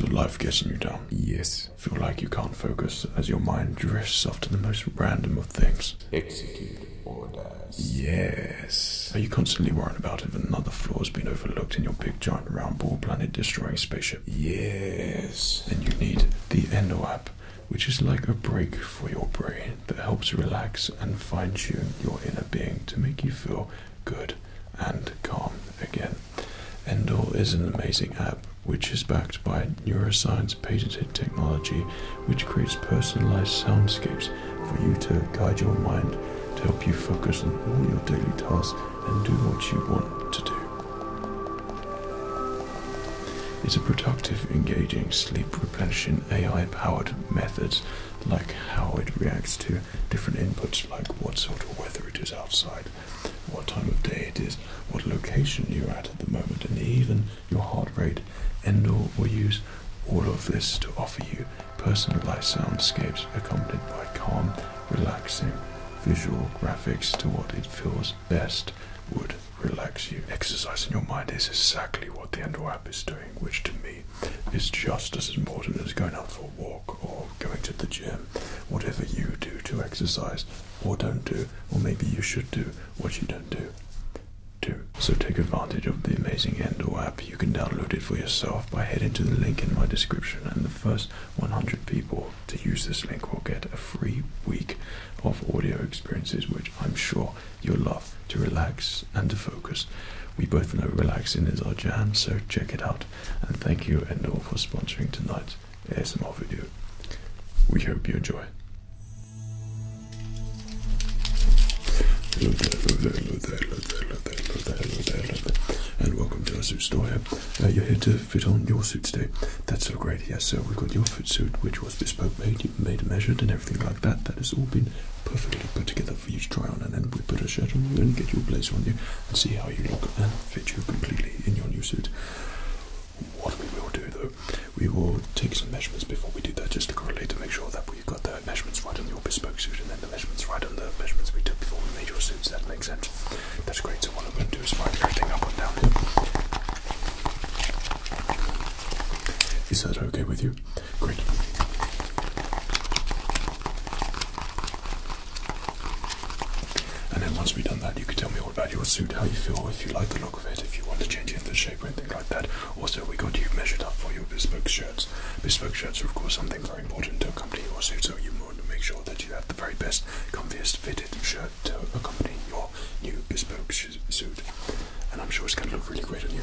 life getting you down? Yes. Feel like you can't focus as your mind drifts off to the most random of things? Execute orders. Yes. Are you constantly worrying about if another flaw has been overlooked in your big giant round ball planet destroying spaceship? Yes. Then you need the Endo app, which is like a break for your brain that helps relax and fine tune your inner being to make you feel good and calm again. Endor is an amazing app which is backed by neuroscience patented technology which creates personalized soundscapes for you to guide your mind to help you focus on all your daily tasks and do what you want to do. It's a productive, engaging, sleep replenishing AI powered method. like how it reacts to different inputs like what sort of weather it is outside what time of day it is, what location you're at at the moment, and even your heart rate. Endor will use all of this to offer you personalized soundscapes accompanied by calm, relaxing visual graphics to what it feels best would relax you. Exercising your mind is exactly what the Endor app is doing, which to me is just as important as going out for a walk or going to the gym, whatever you do to exercise or don't do, or maybe you should do what you don't do. Too. So take advantage of the amazing Endo app. You can download it for yourself by heading to the link in my description, and the first 100 people to use this link will get a free week of audio experiences, which I'm sure you'll love to relax and to focus. We both know relaxing is our jam, so check it out. And thank you, Endo, for sponsoring tonight short ASMR video. We hope you enjoy. And welcome to our suit store here. Uh, you're here to fit on your suit today. That's so great. Yes, sir. we've got your fit suit, which was bespoke made, made measured and everything like that. That has all been perfectly put together for you to try on. And then we put a shirt on you and get your blazer on you and see how you look and fit you completely in your new suit. What we will do though, we will take some measurements before we do that just to correlate and make sure that we've got the measurements right on your bespoke suit and then the measurements right on the measurements we took before we made your suits. That makes sense. That's great. So, what I'm going to do is write everything up and down here. Is that okay with you? Great. And then once we've done that, you can tell me all about your suit, how you feel, if you like the look of it, if you want to change it, the shape or anything like that. Also, we got you measured up for your bespoke shirts. Bespoke shirts are, of course, something very important to accompany your suit, so you want to make sure that you have the very best, comfiest fitted shirt to accompany your new bespoke suit. And I'm sure it's going to look really great on you.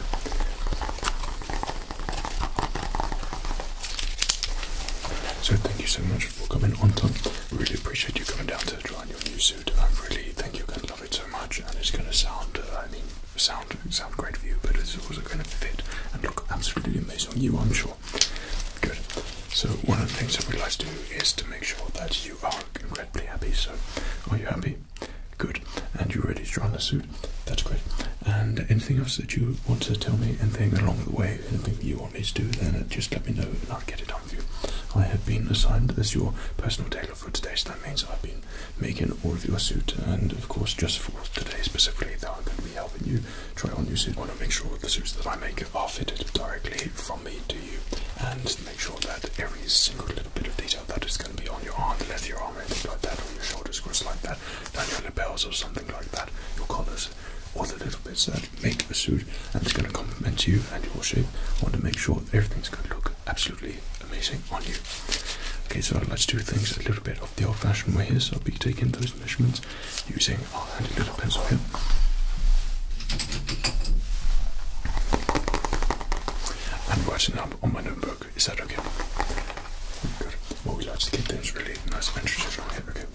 So thank you so much for coming on, Tom. Really appreciate you coming down to try on your new suit. I really think you're going to love it so much, and it's going to sound, uh, I mean, sound sound great for you, but it's also going to fit and look absolutely amazing on you, I'm sure. Good. So one of the things that we like to do is to make sure that you are incredibly happy. So are you happy? Good. And you're ready to try on the suit? That's great. And anything else that you want to tell me? Anything along the way? Anything you want do, then uh, just let me know and I'll get it done for you. I have been assigned as your personal tailor for today, so I've been making all of your suit, and of course, just for today specifically, that I'm going to be helping you try on your suit. I want to make sure the suits that I make are fitted directly from me to you, and make sure that every single little bit of detail that is going to be on your arm, the left of your arm, anything like that, or your shoulders, of like that, down your lapels or something like that, your collars, all the little bits that make a suit and it's going to complement you and your shape. I want to make sure everything's going to look absolutely amazing on you. Okay, so let's do things a little bit of the old-fashioned way So I'll be taking those measurements using our handy little pencil here. And writing up on my notebook. Is that okay? Okay. Well, we will just keep things really nice and traditional here. Okay.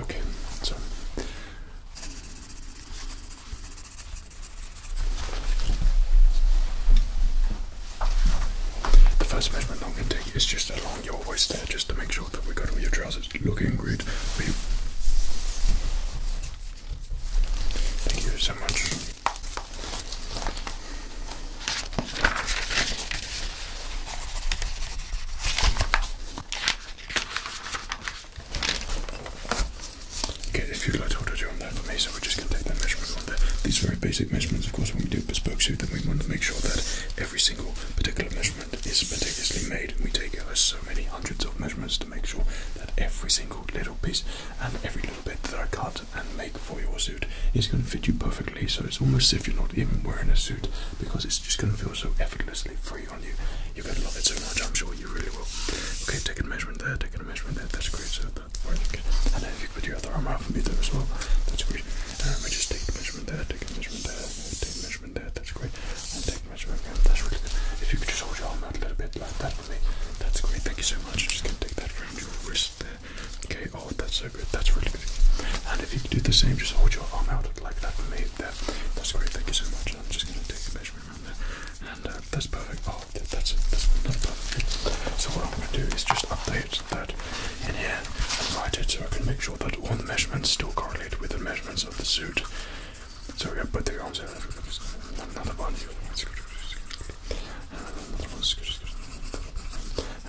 Okay, so. The first measurement I'm going to take is just along your waist there, just to make sure that we got all your trousers looking great. Thank you so much. Okay, if you'd like to hold a on there for me, so we just going take that measurement These very basic measurements, of course, when we do bespoke suit, then we want to make sure that every single particular measurement is meticulously made. We take uh, so many hundreds of measurements to make sure that every single little piece and every little bit that I cut and make for your suit. It's going to fit you perfectly, so it's almost as if you're not even wearing a suit because it's just going to feel so effortlessly free on you. You're going to love it so much, I'm sure you really will. Okay, take a measurement there, Take a measurement there, that's great. So that's very good. And then if you put your other arm out for me there as well, that's great. And we just take a measurement there, take a measurement there, take measurement there, that's great. And take measurement again, that's really good. If you could just hold your arm out a little bit like that for me, that's great. Thank you so much. I'm just going to take that around your wrist. Okay, oh, that's so good. That's really good. And if you could do the same, just hold your arm out like that for me. There. That's great. Thank you so much. I'm just going to take a measurement around there. And uh, that's perfect. Oh, that's it. That's perfect. So what I'm going to do is just update that in here and write it so I can make sure that all the measurements still correlate with the measurements of the suit. So we have both the arms here. Another one.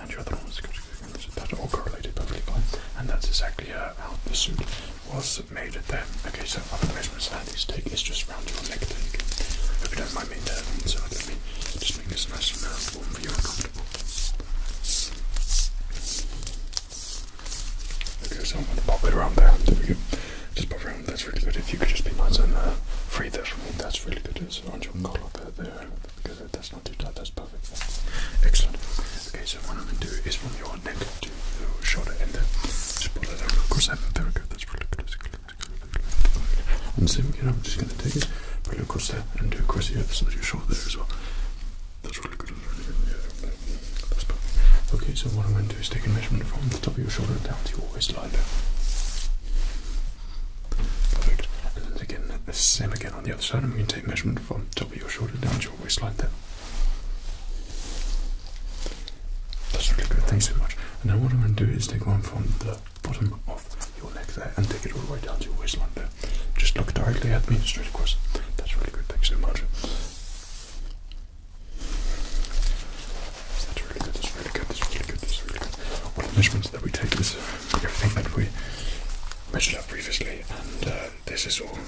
And your other one's good, good, all correlated perfectly And that's exactly uh, how the suit was made there. Okay, so other measurements that these take is just round your neck take. If you don't mind me uh, there, just make this nice and uh, for you Okay, so I'm going to pop it around there. There we go. Just pop around, that's really good. If you could just be nice and uh, free there for me, that's really good this orange color bit there because that's not too tight, that's perfect. Excellent. Okay, so what I'm going to do is from your neck to your shoulder and then just pull it out across that. There we go, that's really good. And same again, I'm just going to take it, pull it across there and do across the other side of your shoulder there as well. That's really good. That's perfect. Okay, so what I'm going to do is take a measurement from the top of your shoulder down to your waistline there. And again, the same again on the other side. I'm going to take measurement from top of your shoulder down to your waistline there. That's really good. Thanks so much. And now what I'm going to do is take one from the bottom of your neck there and take it all the way down to your waistline there. Just look directly at me, straight across. That's really good. Thanks so much. That's really good, that's really good, that's really really good. All the measurements that we take is everything that we measured up previously, and uh, this is all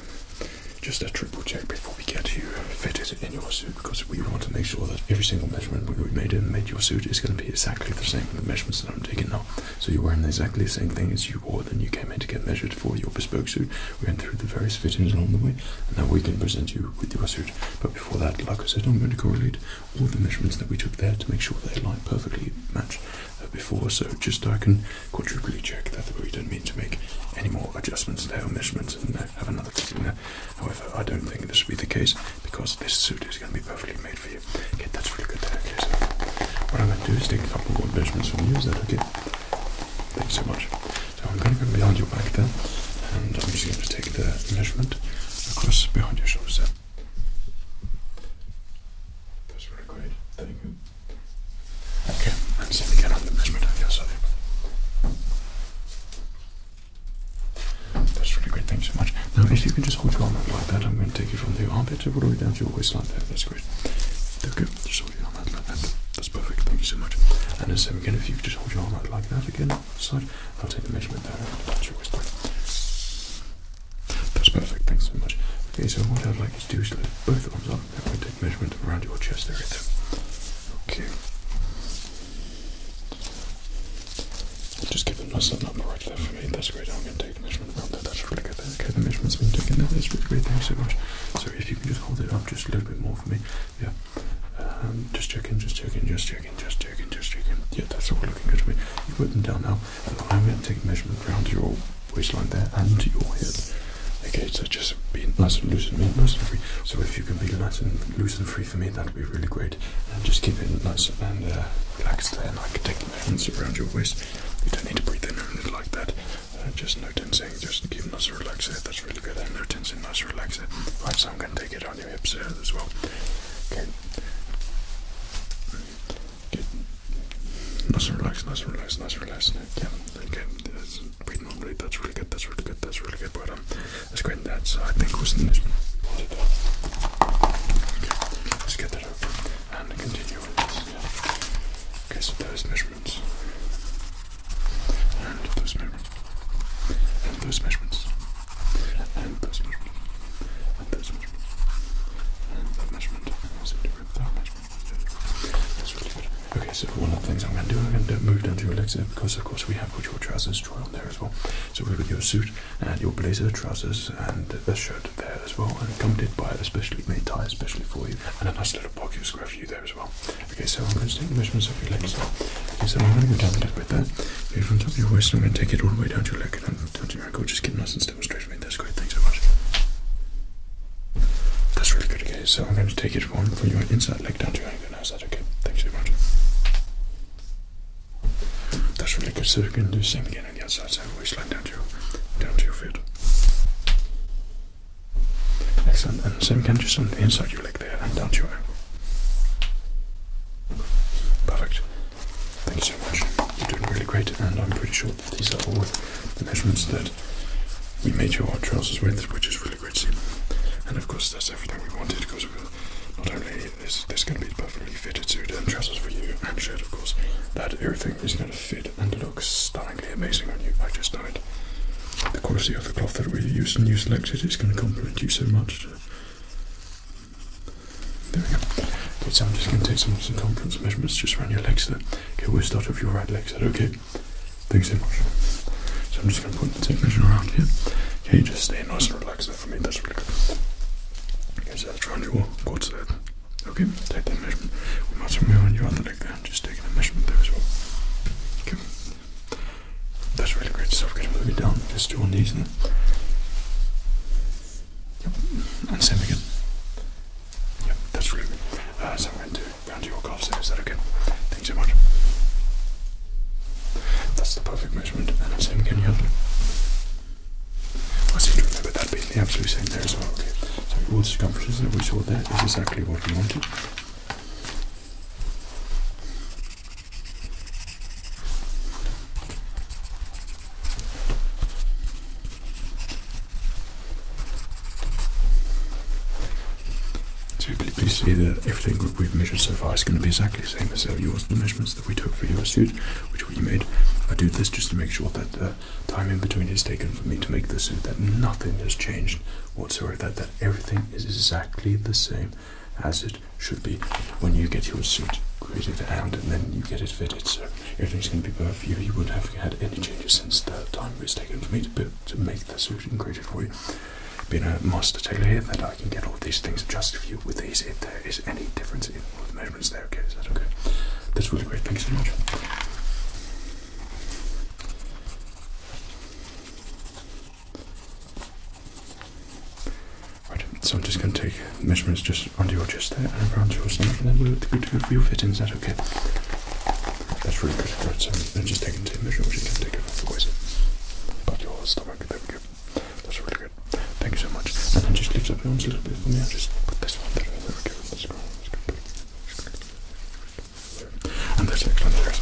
just a triple check before we get you fitted in your suit because we want to make sure that every single measurement we made in made your suit is going to be exactly the same the measurements that I'm taking now. So you're wearing exactly the same thing as you wore when you came in to get measured for your bespoke suit. We went through the various fittings along the way and now we can present you with your suit. But before that, like I said, I'm going to correlate all the measurements that we took there to make sure they line perfectly match uh, before. So just I can quadruply check that we don't mean to make any more adjustments to or measurements and uh, have another thing there. However, I don't think this will be the case because this suit is going to be perfectly made for you. Okay, that's really good what I'm going to do is take a couple more measurements from you. Is that okay? Thanks so much. So I'm going to go behind your back there and I'm just going to take the measurement across behind your shoulder. That's really great. Thank you. Okay, let's see again on the measurement on your side. That's really great. Thank you so much. Now, if you can just hold your arm like that, I'm going to take you from the armpit all the way down to your waistline there. That's great. Okay, just hold your arm like that. That's perfect. Thank you so much. And the same again, if you can just hold your arm like that again, side. I'll take the measurement there and attach That's perfect, thanks so much. Okay, so what I'd like you to do is lift both arms up and we take measurement around your chest area Okay. Just give it a nice little for me. That's great. I'm going to take the measurement around there. That's really good. There. Okay, the measurement's been taken That's really great. Thanks so much. So if you can just hold it up just a little bit more for me. Yeah. Um, just checking. just checking. just checking joking, just joking, just joking. Yeah, that's all looking good to me. You put them down now, and I'm going to take a measurement around your waistline there and your hip. Okay, so just be nice and loose and nice and free. So if you can be nice and loose and free for me, that'd be really great. And just keep it nice and uh, relaxed there, and I can take my hands around your waist. You don't need to breathe in and like that. Uh, just no tensing, just keep nice and relaxed That's really good. And no tensing, nice and relaxed Right, so I'm going to take it on down your as well. Good. Nice and relaxed. nice and relaxed. nice and relaxed. Yeah, okay. That's really good, that's really good, that's really good. Well done. That's great. That's, I think, was in this one. Okay, let's get that over and continue with this. Okay, so those measurements. And those measurements. And those measurements. And those measurements. Okay, so one of the things I'm going to do, I'm going to move down to your legs there because, of course, we have got your trousers drawn on there as well. So we've got your suit and your blazer, trousers, and a shirt there as well, and accompanied by a specially made tie, especially for you, and a nice little pocket square for you there as well. Okay, so I'm going to take the measurements of your legs. Okay, so I'm going to go down a little bit there. Okay, from top your waist, I'm going to take it all the way down to your leg touching your ankle, just keep nice and straight for me. That's great, thanks so much. That's really good, okay? So I'm going to take it one from your inside leg down to your ankle now. Is that okay? Thanks so much. That's really good. So we're do same again on the outside side, so waistline down to your, down to your feet. Excellent. And same again, just on the inside your leg there down to your ankle. Perfect. Thank you so much. You're doing really great, and I'm pretty sure that these are all the measurements that we made your trousers with, which is really great to see. And of course, that's everything we wanted because we're not only is this going to be perfectly fitted suit and trousers for you and shirt, of course, that everything is going to fit and look stunningly amazing on you. I just know it. The quality of the cloth that we used and you selected is going to compliment you so much. There we go. Okay, so I'm just going to take some circumference measurements just around your legs there. Okay, we'll start off your right leg side, okay? Thanks so much. So I'm just going to put the tape measure around here. Okay, just stay nice and relaxed there for me, that's really good. Okay, so that's around your quads Okay, take that measurement. We might as well move on your other leg there, just taking a measurement there as well. Okay. That's really great So stuff. move it down just do your knees now. Yep. And same again. Yep, that's really uh, so I'm going to round your calves in. Is that okay? Thanks so much. That's the perfect measurement. And same again, yeah. I seem to remember that being the absolute same there as well. Okay. So all the circumferences that we saw there is exactly what we wanted. So please see that everything we've measured so far is going to be exactly the same as uh, yours. The measurements that we took for your suit, which we made, I do this just to make sure that the time in between is taken for me to make the suit, that nothing has changed whatsoever, that everything is exactly the same as it should be when you get your suit created and then you get it fitted. So everything's going to be perfect for you. You wouldn't have had any changes since the time it's taken for me to, build, to make the suit and create it for you. Being a master tailor here, that I can get all these things just for you with these if there is any difference in the measurements there. Okay, is that okay? That's really great. Thanks so much. Right, so I'm just going to take measurements just under your chest there and around your stomach, and then we will do to go for fittings. That's okay? That's really good. Right, so i just taking two measurements. You can take it from the waist, your stomach. There we That's really good. Thank you so much. And then just lift up your arms a little bit for me. just put this one there. There we go. That's great. That's And that's excellent. There's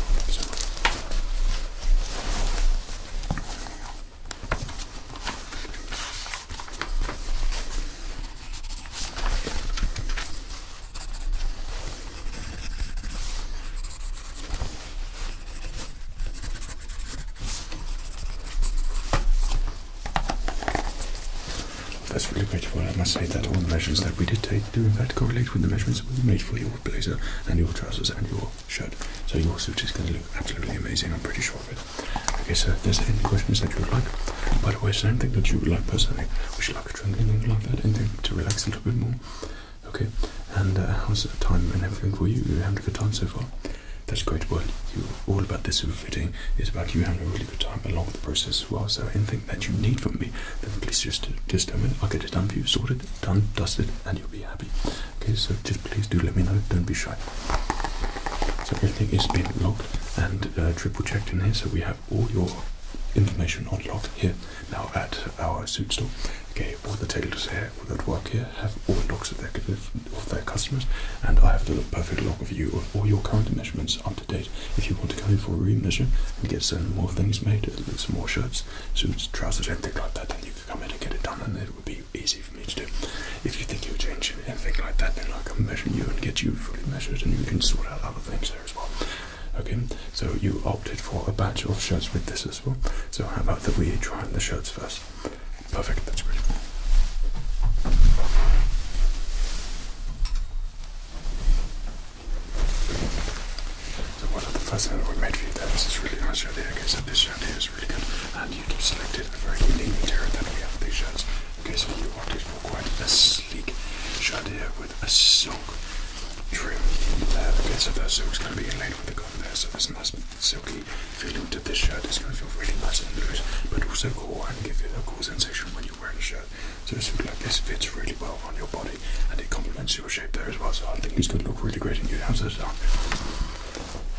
that's really grateful. I must say that all the measurements that we did take do in fact correlate with the measurements we made for your blazer and your trousers and your shirt. So your suit is going to look absolutely amazing. I'm pretty sure of it. Okay, so if there's any questions that you would like, by the way, is there anything that you would like personally? Would you like a drink, anything like that, anything to relax a little bit more? Okay, and uh, how's the time and everything for you? You having a good time so far? That's great. Well, you all about this fitting is about you having a really good time along with the process as well. So anything that you need from me, then please just just tell me. I'll get it done for you, sorted, done, dusted, and you'll be happy. Okay, so just please do let me know. Don't be shy. So everything is being locked and uh, triple checked in here. So we have all your information on lock here now at our suit store. Okay, all the tailors here that work here have all logs of their of their customers, and I have the perfect lock of you of all your current measurements up to date. If you want to come in for a re-measure and get some more things made, some more shirts, suits, trousers, anything like that, then you can come in and get it done, and it would be easy for me to do. If you think you are changing anything like that, then I can measure you and get you fully measured, and you can sort out other things there as well. Okay, so you opted for a batch of shirts with this as well. So how about that we try on the shirts first? Perfect, that's great. So one of the first things we made for you there, this really nice shirt here. Okay, so this shirt here is and you've selected a very unique material that we have these shirts. Okay, so you opted for quite a sleek shirt here with a silk trim there. Okay, so that silk's going to be inlaid with the cotton there, so this nice silky feeling to this shirt. It's going to feel really nice and loose, but also cool and give you a cool sensation when you're wearing the shirt. So it's look like this fits really well on your body and it complements your shape there as well. So I think it's going to look really great in your houses.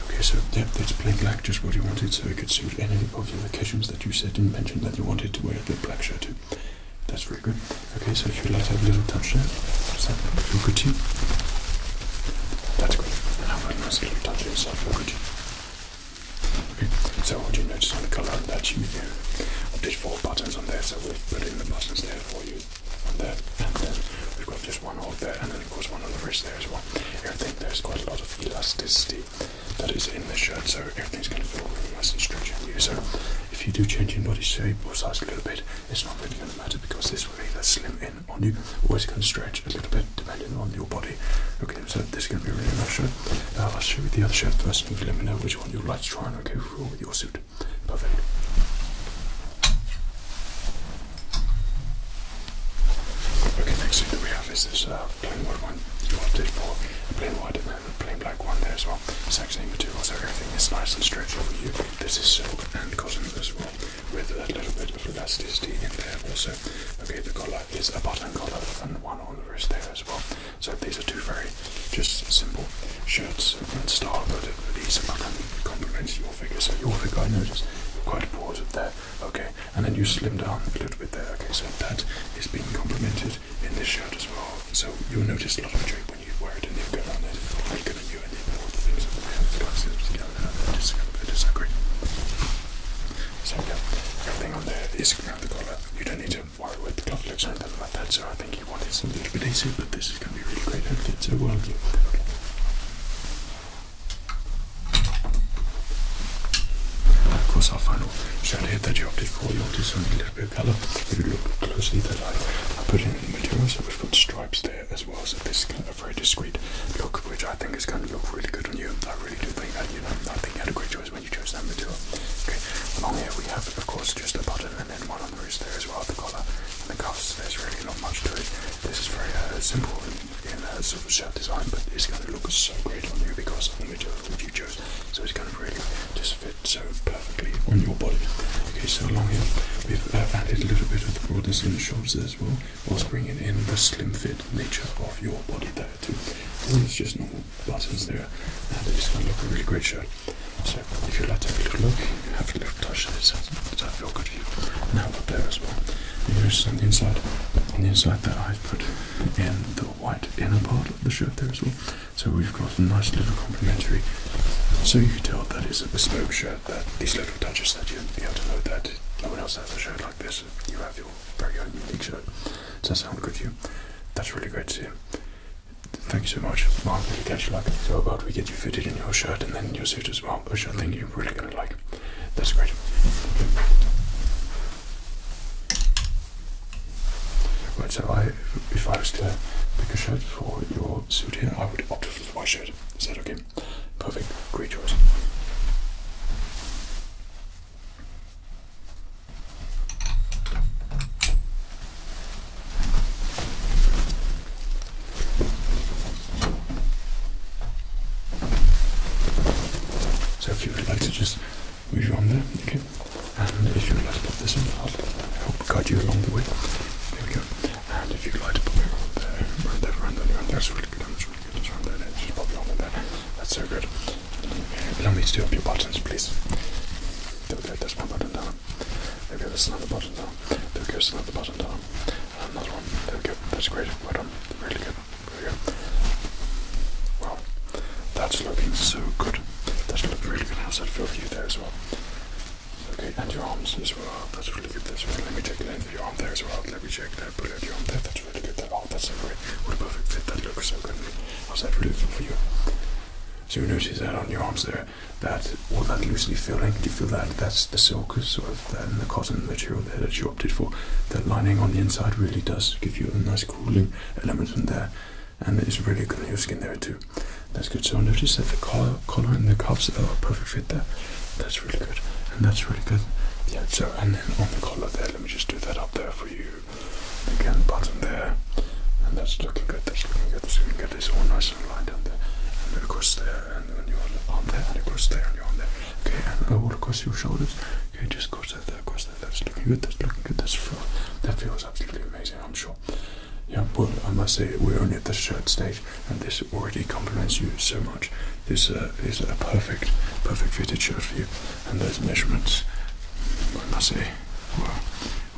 Okay, so yeah, that's plain black, just what you wanted, so it could suit any of the occasions that you said and mentioned that you wanted to wear the black shirt to. That's very good. Okay, so if you like have a little touch there, does that feel good to That's good. And how about a nice little touch yourself, Okay, so what do you notice on the color that you do? I did four buttons on there, so we've put in the buttons there for you. On there, and then we've got just one hole there, and then goes one on the wrist there as well. Everything there's quite a lot of elasticity that is in the shirt, so everything's going to feel really nice and stretchy on you. So if you do change your body shape or size a little bit, it's not really going to matter because this will either slim in on you always going to stretch a little bit depending on your body. Okay, so this is going to be a really nice shirt. Uh, I'll show you the other shirt first and you let me know which one you like to try and okay for your suit. Perfect. Okay, next thing that we have is this uh, plain white one. You it for plain white and a plain black one there as well. Exact same material, so everything is nice and stretchy for you. This is silk and cotton as well, with a little bit of elasticity in there also. Okay, the collar is a button collar and one on the wrist there as well. So these are two very just simple shirts and style, but these complement your figure. So your figure I notice quite broad there. Okay, and then you slim down a little bit there. Okay, so that is being complimented in this shirt as well. So you'll notice a lot of drape when you wear it and you'll go on it. Like you going to do then all the things that we have got scissors just going to then just kind disagree. So yeah, everything on there is around the collar. You don't need to worry with the cufflinks or anything like that, so I think you want it a little bit easier, but this is gonna be really great outfit, so well you okay. Of course, I'll find out. Should that you opted for? You opted something a little bit of colour. If you look closely, they're like, I put in the material, so we've got stripes there as well. So this is kind of a very discreet look, which I think is going to look really good on you. I really do think that, you know, I think you had a great choice when you chose that material. Okay, along here we have, of course, just a button and then one on the wrist there as well, the collar and the cuffs. There's really not much to it. This is very uh, simple in a sort of shirt design, but it's going to look so great on you because of the material that you chose. So it's going to really just fit so perfectly on your body. Okay, so along here we've uh, added a little bit of the broadness in the shoulders as well, whilst bringing in the slim fit nature of your body there too. And it's just normal buttons there, and it's going to look a really great shirt. So if you'd like to have a little look, have a little touch. Does that feel good for you? Now up there as well. Here's on the inside, on the inside that I've put in the white inner part of the shirt there as well. So we've got a nice little complimentary. So you can tell that is a bespoke shirt. That these little touches that you be able to know that no one else has a shirt like this. You have your very own unique shirt. Does that sound good to you? That's really great Thank you so much. Mark, i catch. really glad you like it. about we get you fitted in your shirt and then your suit as well, which I think you're really gonna like. That's great. Right, so I, if I was to pick a shirt for your suit here, I would opt for the white shirt. Is that okay? Perfect. Great choice. So if you would like to just move your arm there, okay? And if you would like to pop this in, I'll help guide you along the way. There we go. And if you'd like to pop it around there, around there, around there, that's really good, that's really good, that's around there, just pop your there. That's so good. Allow me to do up your buttons, please. There we go, that's one button down. There we go, another button down. There we another button down. Another one. There we go, that's great, well done, really good. Brilliant. Well, that's looking so good. That's looking really good. How's that feel for you there as well? Okay, and your arms as well. That's really good. That's really, let me check the length of your arm there as well. Let me check that. Put it your arm there. That's really good. That, oh, that's so great. What a perfect fit. That looks so good. How's that really feel for you? So you notice that on your arms there, that all that loosely feeling. Do you feel that? That's the sulcus or than the cotton material there that you opted for. That lining on the inside really does give you a nice cooling element in there and it's really good on your skin there too. That's good. So notice that the collar, and the cuffs are a perfect fit there. That's really good. And that's really good. Yeah, so and then on the collar there, let me just do that up there for you. Again, button there. And that's looking good, that's looking good, that's looking good. It's all nice and lined up there. And across there and on there across there and your arm there. Okay, and across your shoulders Okay, just cross that there, cross that. That's looking good. That's looking good. that feels absolutely amazing. I'm sure. Yeah, but I must say we're only at the shirt stage, and this already compliments you so much. This uh, is a perfect, perfect fitted shirt for you, and those measurements, I must say, were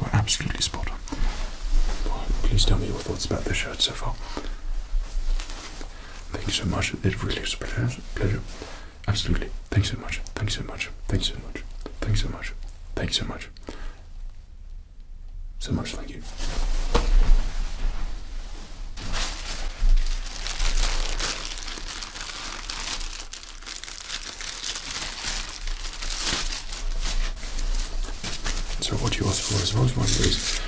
were absolutely spot on. Well, please tell me your thoughts about the shirt so far. Thank you so much. It really was a pleasure. pleasure. Absolutely. Thanks so much. Thanks so much. Thanks so much. Thanks so much. Thanks so much. So much, thank you. So what you asked for as well as one of those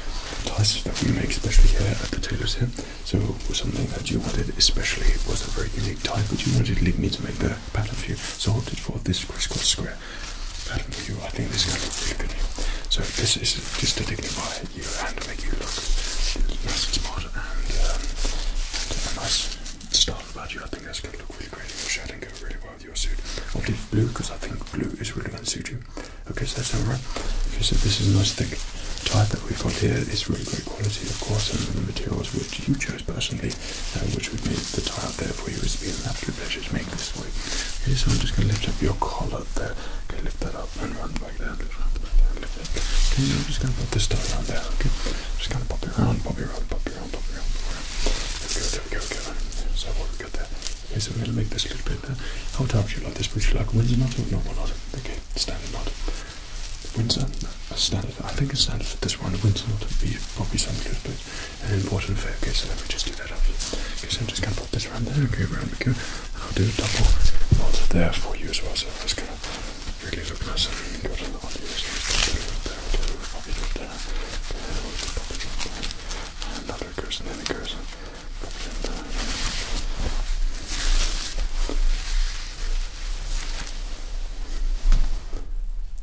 ties that we make, especially here at the tailors here. So something that you wanted especially it was a very unique tie. but you wanted to me to make the pattern view. So I opted for this crisscross square pattern view. I think this is going to look really good here. So this is just to dignify you and make you look nice and smart and, um, a nice style about you. I think that's going to look really great in your shirt and go really well with your suit. I will leave blue because I think blue is really going to suit you. Okay, so that's all right. Okay, so this is a nice thick tie that we've got here. It's really great quality, of course, and the materials which you chose personally, uh, which would make the tie out there for you. It's been an pleasure to make this for you. Okay, so I'm just going to lift up your collar there. Okay, lift that up and run back down. Lift up, back down, lift it. Okay, I'm just going to put this tie around there. Okay, I'm just going to put it around, pop it around, pop it around, pop it around. There we go, there we go, there we go. So what we got there. Okay, so we're going to make this a little bit there. How tight would you like this? Would you like a Windsor knot or a normal knot? Okay, standard knot. Windsor, standard, I think it's standard for this round of Windsor, not to be probably something good, but um, an important fair. Okay, so let me just do that up. Okay, so I'm just going to put this around there, okay, around the go, I'll do a double knot there for you as well, so it's going to really look nice and good on you. So just there, okay, we'll pop it up there, okay, we'll there, and another goes, and then a goes,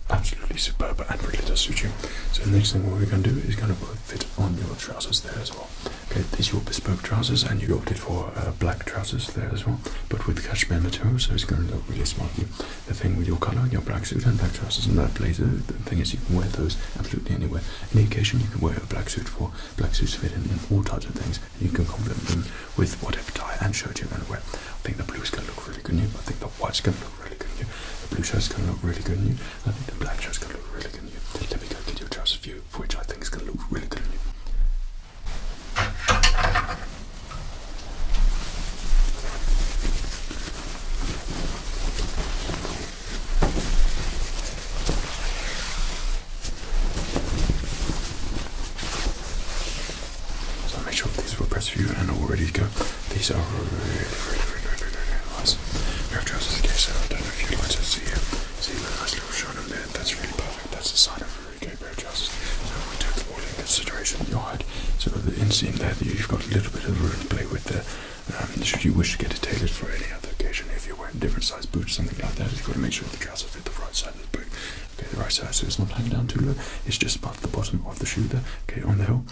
Absolutely superb and really does suit you. So the next thing what we're going to do is going to put fit on your trousers there as well. Okay, these are your bespoke trousers and you opted for uh, black trousers there as well, but with cashmere material, so it's going to look really smart. The thing with your colour, your black suit and black trousers and that blazer, the thing is you can wear those absolutely anywhere. Any occasion you can wear a black suit for. Black suits fit in, in all types of things. You can complement them with whatever tie and shirt you want to I think the blue is going to look really good on you. I think the white is going to look really good on you. The blue shirt is going to look really good on you. I think the black shirt is going to look really good on you. Let me go get you a dress view, for which I think is going to look really good on you. So make sure these were pressed for you and all ready to go. These are really, really, really, really, really nice. Pair of trousers again, so I don't know if you'd like to see you. See the nice little shine on there. That's really perfect. That's a sign of a really great pair of trousers. So we took all in consideration your height. So the inseam there, you've got a little bit of room to play with there. Um, should you wish to get it tailored for any other occasion, if you're wearing different size boots, or something like that, you've got to make sure the trousers fit the right size. Okay, the right side, so it's not hanging down too low. It's just about the bottom of the shoe there. Okay, on the heel.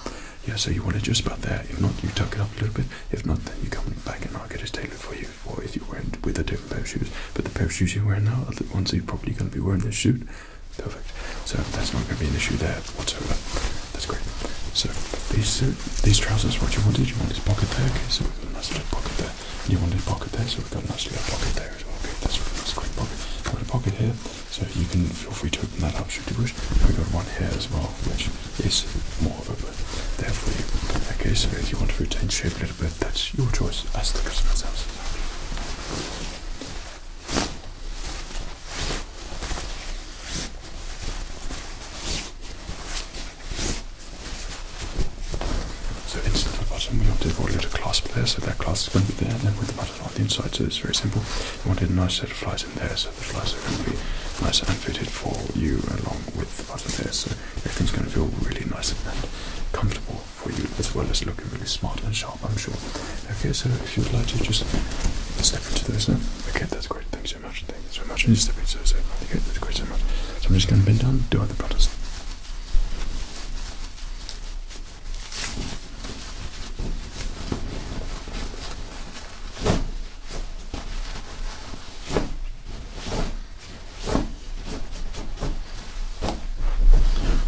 Yeah, so you want it just about there. If not, you tuck it up a little bit. If not, then you come back and I'll get it tailored for you. Or if you're wearing with a different pair of shoes. But the pair of shoes you're wearing now are the ones you're probably going to be wearing this suit. Perfect. So that's not going to be an issue there whatsoever. That's great. So these these trousers, what you wanted, you want this pocket there. Okay, so we've got a nice little pocket there you wanted a pocket there, so we've got a nice little pocket there as well. Okay, that's a nice quick pocket. I've got a pocket here, so you can feel free to open that up should you wish. We've got one here as well, which is more of a there for you. Okay, so if you want to retain shape a little bit, that's your choice as the customer themselves. Okay, so inside the bottom, we have to avoid a little clasp there, so that clasp is going to be there, and then with the button on the inside, so it's very simple. We want a nice set of flies in there, so the flies are going to be nice and fitted for you along with the button there, so everything's going to feel really nice and comfortable for you, as well as looking really smart and sharp, I'm sure. Okay, so if you'd like to just step into those now. Okay, that's great. Thank you so much. Thank you so much. And you step into those. Okay, that's great so much. So I'm just going to bend down, do other buttons.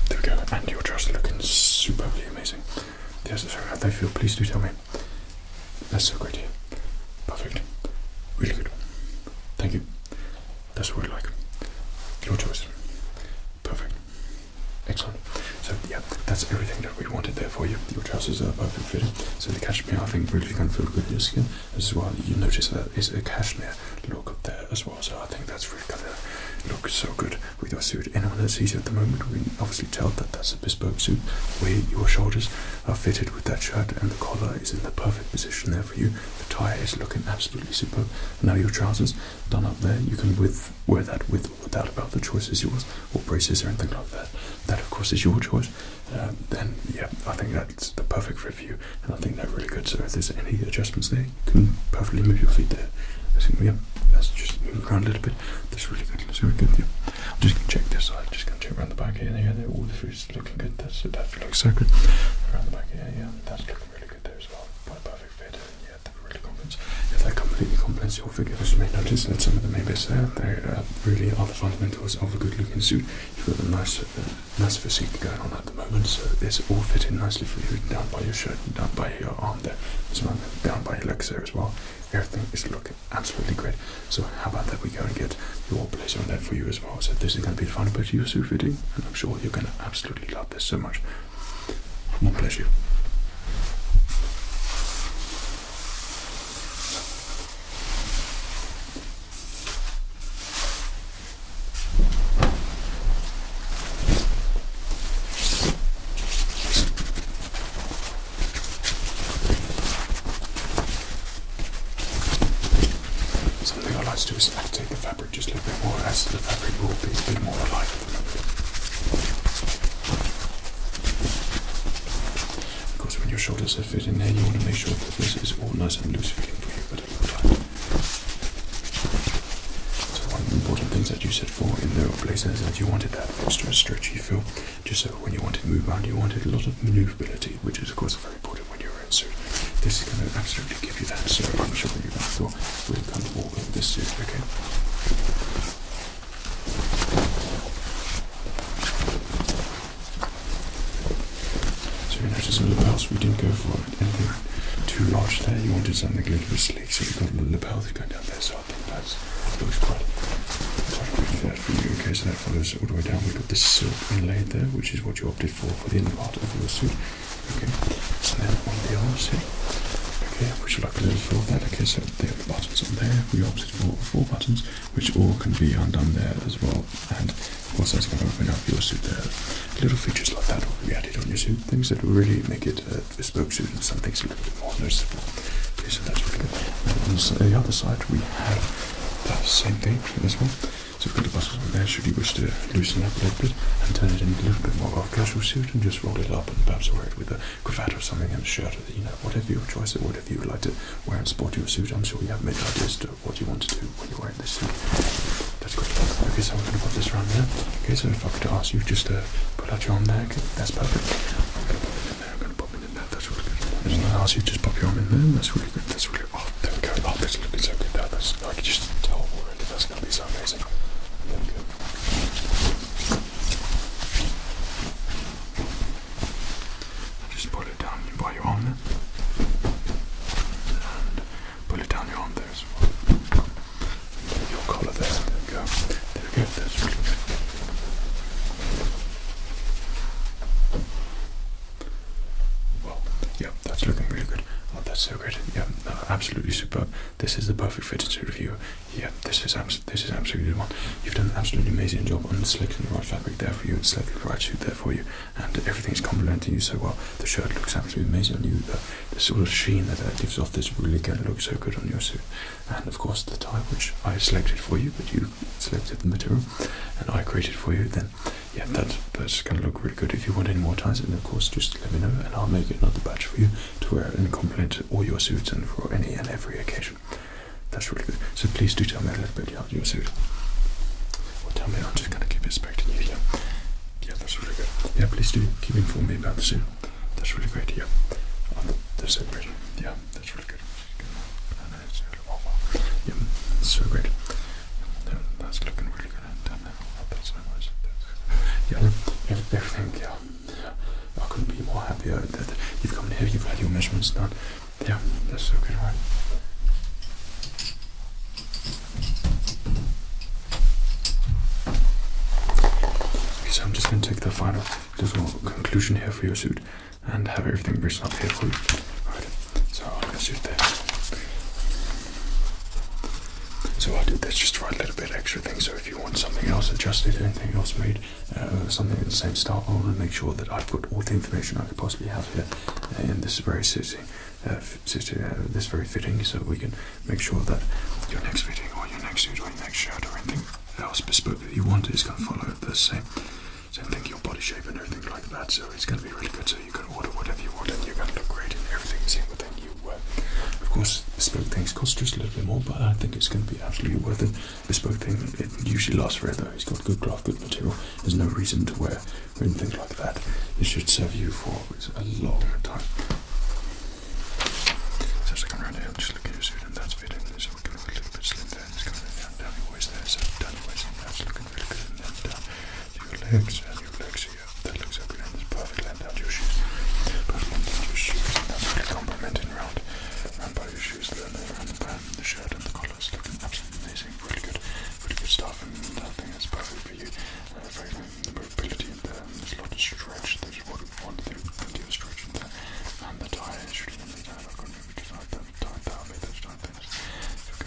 There and your trousers are looking superbly amazing. Yes, sir, how do they feel, please do tell me. That's so great here. Perfect. Really good. Thank you. That's what we like. Your choice. Perfect. Excellent. So yeah, that's everything that we wanted there for you. Your trousers are perfect fitting. So the cashmere I think really can feel good in your skin as well. You notice that is a cashmere look up there as well. So I think that's really gonna look so good with your suit. Anyone that sees you at the moment we can obviously tell that that's a bespoke suit where your shoulders are fitted with that shirt and the collar is in the perfect position there for you. The tie is looking absolutely superb. Now your trousers done up there. You can with wear that with or without about The choice is yours, or braces or anything like that. That of course is your choice. Uh, then yeah, I think that's the perfect fit for you, and I think they're really good. So if there's any adjustments there, you can perfectly move your feet there. I think yeah, that's just move around a little bit. That's really good. That's really good. Yeah. I'm just gonna check this side. Just gonna check around the back here. There, there. All the food looking good. That's it. That looks so good. Around the back, yeah, yeah. That's looking really good there as well. Quite perfect fit. yeah, really complements. Yeah, that completely complements your figure. As you may notice, that some of the members there, they uh, really are the fundamentals of a good-looking suit. You've got a nice, uh, nice physique going on at the moment, so it's all fitting nicely for you. Down by your shirt, down by your arm there, as well, down by your legs there as well. Everything is looking absolutely great. So how about that? We go and get your blazer on there for you as well. So this is going to be the final pair to your suit and I'm sure you're going to absolutely love this so much. More pleasure. Something I like to do is I the fabric fabric just a little bit more as the fabric will be a bit more alike. Of course, when your shoulders are fit in there, you want to make sure that this is all nice and loose fitting for you but at all time. So one of the important things that you set for in the blazer is that you wanted that extra stretchy feel, just so when you want to move around, you wanted a lot of manoeuvrability, which is of course a very important when you're in This is going to absolutely give you that, sort of am sure you're going to feel really comfortable this suit, okay? So you notice the lapels, we didn't go for anything too large there. You wanted something a little bit sleek, so we have got a lapel that's going down there, so I think that looks quite, quite good for you. Okay, so that follows all the way down. We've got this silk inlaid there, which is what you opted for for the inner part of your suit. Okay, so then on the other side, okay, which like a little for that. Okay, so there are buttons on there. We opted for four buttons, which all can be undone there as well. And of course, that's going to open up your suit there. Little features like that will be added on your suit, things that will really make it a bespoke suit and some things a little bit more noticeable. Okay, so that's really good. And on the other side, we have the same thing as well. So we've got the muscles on there. Should you wish to loosen up a little bit and turn it into a little bit more of a casual suit and just roll it up and perhaps wear it with a cravat or something and a shirt, you know, whatever your choice or whatever you would like to wear and sport your suit. I'm sure you have many ideas to what you want to do when you're wearing this suit. That's great. Okay, so I'm going to put this around there. Okay, so if I could ask you just to put out your arm there. that's perfect. there. I'm going to pop it in there. That's really good. i going to ask you just pop your arm in there. That's really good. That's really Oh, there we go. Oh, this is gonna be so good. I can just tell already. That's gonna be so amazing. There Just pull it down by your arm there. And pull it down your there as well. your collar there. There we go. There we go. That's really good. Well, yeah, that's looking really good. Oh, that's so good. Yeah, absolutely superb. This is the perfect fitting suit of you. Yeah, this is this is absolutely the one. You've done an absolutely amazing job on selecting the right fabric there for you and selecting the right suit there for you. And everything is complementing you so well. The shirt looks absolutely amazing on you. The, sort of sheen that it gives off this really can look so good on your suit. And of course, the tie which I selected for you, but you selected the material and I created for you, then yeah, that, that's going to look really good. If you want any more ties, then of course just let me know and I'll make another batch for you to wear and compliment all your suits and for any and every occasion. That's really good. So please do tell me a little bit about your suit. Well, tell me, I'm just going to keep expecting you here. Yeah. yeah, that's really good. Yeah, please do keep informing me about the suit. That's really great. Yeah, um, the suit, Yeah, that's really good. Yeah, that's so great. That's looking really good. I Yeah, everything, yeah. I couldn't be more happier that you've come here, you've had your measurements done. Yeah, that's so good, right? so I'm just going to take the final little conclusion here for your suit and have everything bristled up here for you. Alright, so I'll get you there. So I did this just for a little bit extra thing. So if you want something else adjusted, anything else made, uh, something in the same style, I want to make sure that I put all the information I could possibly have here. And uh, this is very suiting, uh, this very fitting, so we can make sure that your next fitting or your next suit or your next shirt or anything else bespoke that you want is going to follow the same, same thing, your body shape and everything like that. So it's going to be really good you can order whatever you want and you're going everything single thing you uh, Of course, bespoke things cost just a little bit more, but I think it's going to be absolutely worth it. Bespoke thing, it usually lasts forever. It's got good cloth, good material. There's no reason to wear and things like that. It should serve you for a long time. So as I come around here, just looking at your suit and that's fitting. So we're going a little bit slim there. it's coming down, down your waist there. So down your waist and that's looking really good. And then uh, down your legs and uh, your legs shoes here. That looks so good and it's perfect land out your shoes. Perfect land out your shoes. And that's really complimenting round round by your shoes, the around the band, the shirt and the collars looking absolutely amazing, really good, really good stuff and I think that's perfect for you. Uh, very the mobility in there, there's a lot of stretch, there's one one thing plenty of stretch in there. And the tie is really lovely down, I've got maybe because I've done tie down, made those tie things. So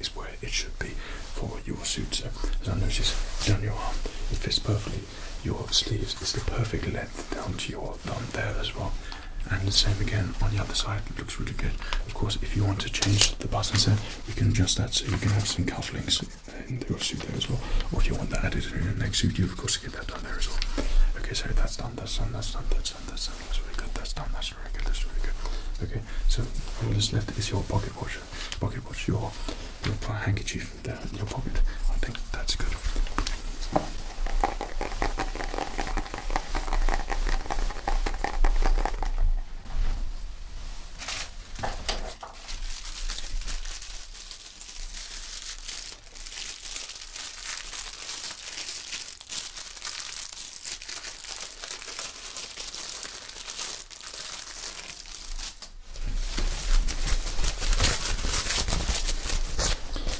is where it should be for your suit. So, as I notice down your arm, it fits perfectly. Your sleeves is the perfect length down to your thumb there as well. And the same again on the other side, it looks really good. Of course, if you want to change the button set, you can adjust that so you can have some cufflinks in your suit there as well. Or if you want that added in your next suit, you of course get that done there as well. Okay, so that's done, that's done, that's done, that's side, this really good, that's done, that's really good, that's really good. Okay, so on this left is your pocket watch. Pocket watch, your handkerchief there in your pocket. I think that's good.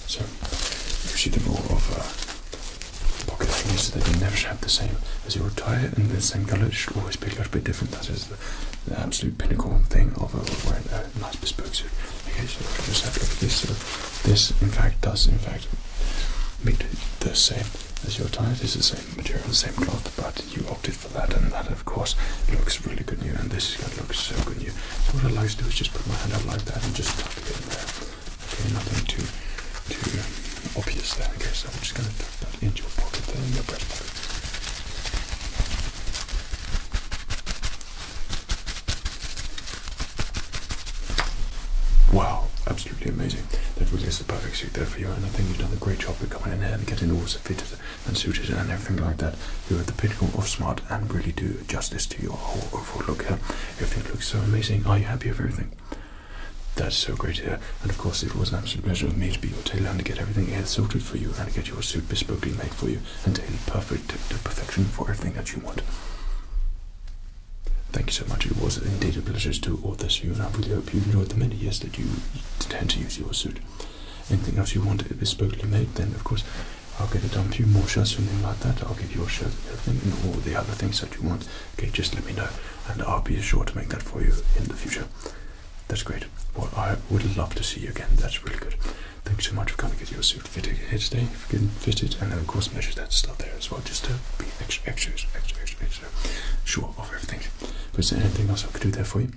So, see the rule of uh, pocket thing is that you never should have the same as your attire and the same colour, it should always be a little bit different. That is the, absolute pinnacle thing uh, of wearing a nice bespoke suit. Okay, so just have this. Uh, this, in fact, does in fact meet the same as your tie. This is the same material, the same cloth, but you opted for that, and that, of course, looks really good new, and this is looks so good new. So what I like to do is just put my hand up like that and just tuck it in there. Okay, nothing too too obvious there. Okay, so I'm just gonna tuck that into your pocket there, in your breast Wow, absolutely amazing. That really is the perfect suit there for you, and I think you've done a great job with coming in here and getting all fitted and suited and everything like that. You're at the pinnacle of smart and really do justice to your whole overall look here. Everything looks so amazing. Are you happy with everything? That's so great here. And of course, it was an absolute pleasure for me to be your tailor and to get everything air sorted for you and to get your suit bespokely made for you and tailored perfect to perfection for everything that you want. Thank you so much. It was indeed a pleasure to order this for you, and I really hope you enjoyed the many years that you intend to use your suit. Anything else you want bespokely made, then of course I'll get it done. A few more shirts, something like that. I'll give you a shirt, everything, and all the other things that you want. Okay, just let me know, and I'll be sure to make that for you in the future. That's great. Well, I would love to see you again. That's really good. Thanks so much for coming to get your suit fitted here today, getting fitted, and then of course measure that stuff there as well, just to extra, extra, extra, extra, extra sure of everything. If there's anything else I could do there for you,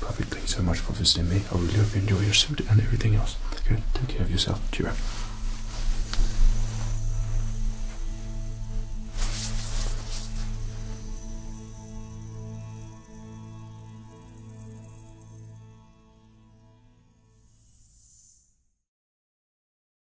perfect. Thank you so much for visiting me. I really hope you enjoy your suit and everything else. Good. Take care of yourself. Cheer up.